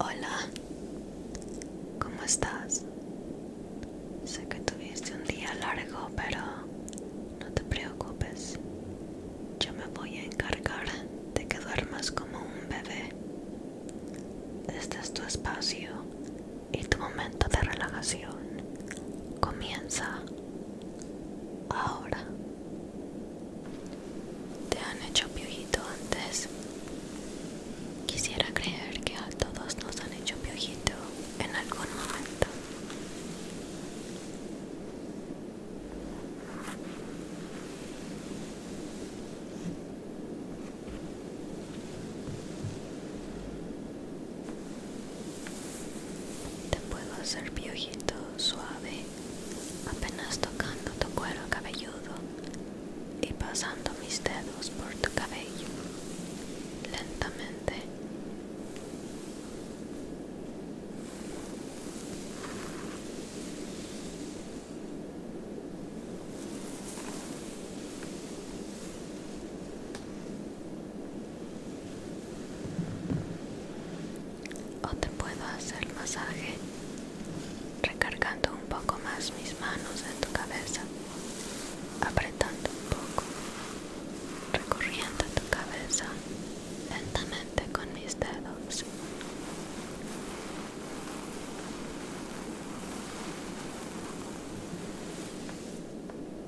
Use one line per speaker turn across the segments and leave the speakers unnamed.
Hola, ¿cómo estás? Sé que tuviste un día largo, pero no te preocupes. Yo me voy a encargar de que duermas como un bebé. Este es tu espacio y tu momento de relajación. Comienza ahora. ¿Te han hecho piojito antes? Quisiera creer que a todos nos han hecho piojito en algún momento. Te puedo hacer piojito suave, apenas tocando tu cuero cabelludo y pasando mis dedos por tu cabello lentamente. O te puedo hacer masaje recargando un poco más mis manos en tu cabeza, apretando un poco, recorriendo tu cabeza lentamente con mis dedos.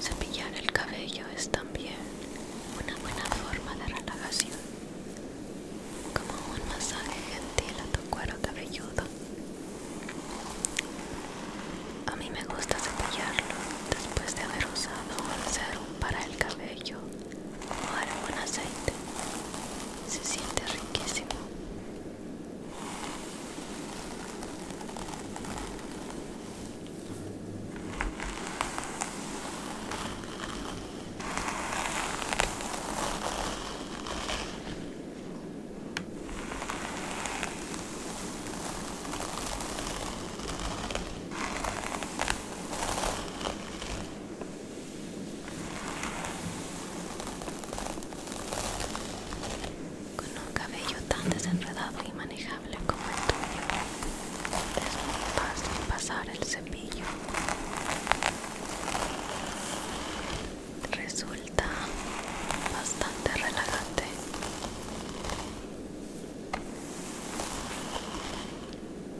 Cepillar el cabello es también una buena forma de relajación, como un masaje gentil a tu cuero cabelludo. A mí me gusta cepillarlo después de haber usado un serum para el cabello Ahora con aceite se siente riquísimo. Con un cabello tan desenredado y manejable como el tuyo, es muy fácil pasar el cepillo. Resulta bastante relajante.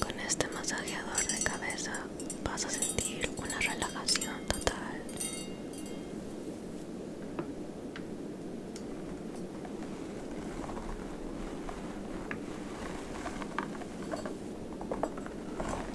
Con este masajeador de cabeza vas a sentir una relajación total.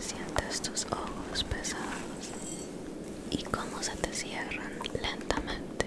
Sientes tus ojos pesados y cómo se te cierran lentamente.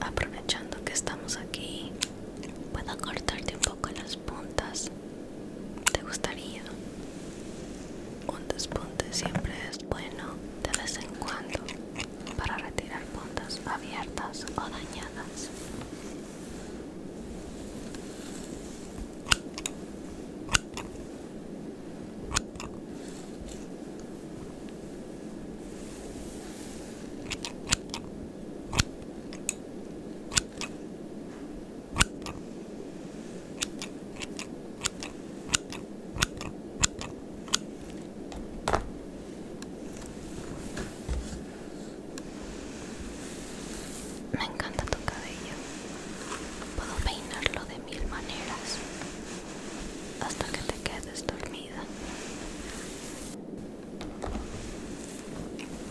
Aprovechando que estamos aquí, puedo cortarte un poco las puntas te gustaría un despunte siempre es bueno de vez en cuando para retirar puntas abiertas o dañadas me encanta tu cabello. Puedo peinarlo de mil maneras hasta que te quedes dormida.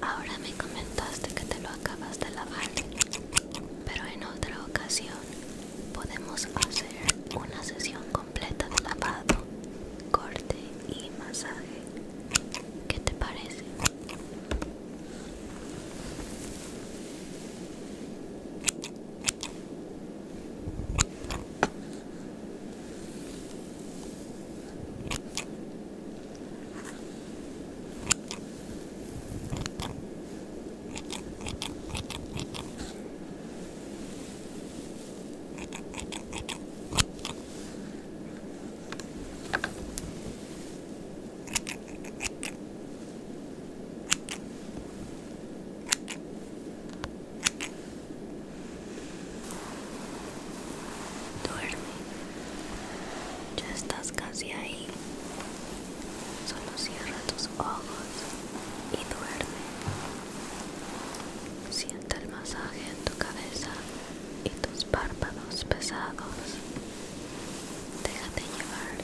Ahora me comentaste que te lo acabas de lavar, pero en otra ocasión podemos hacer una sesión completa de lavado, corte y masaje. ¿Qué te parece? Duerme. Ya estás casi ahí. Solo cierra tus ojos y duerme. Sienta el masaje en tu cabeza y tus párpados pesados. Déjate llevar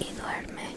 y duerme.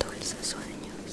Dulces sueños.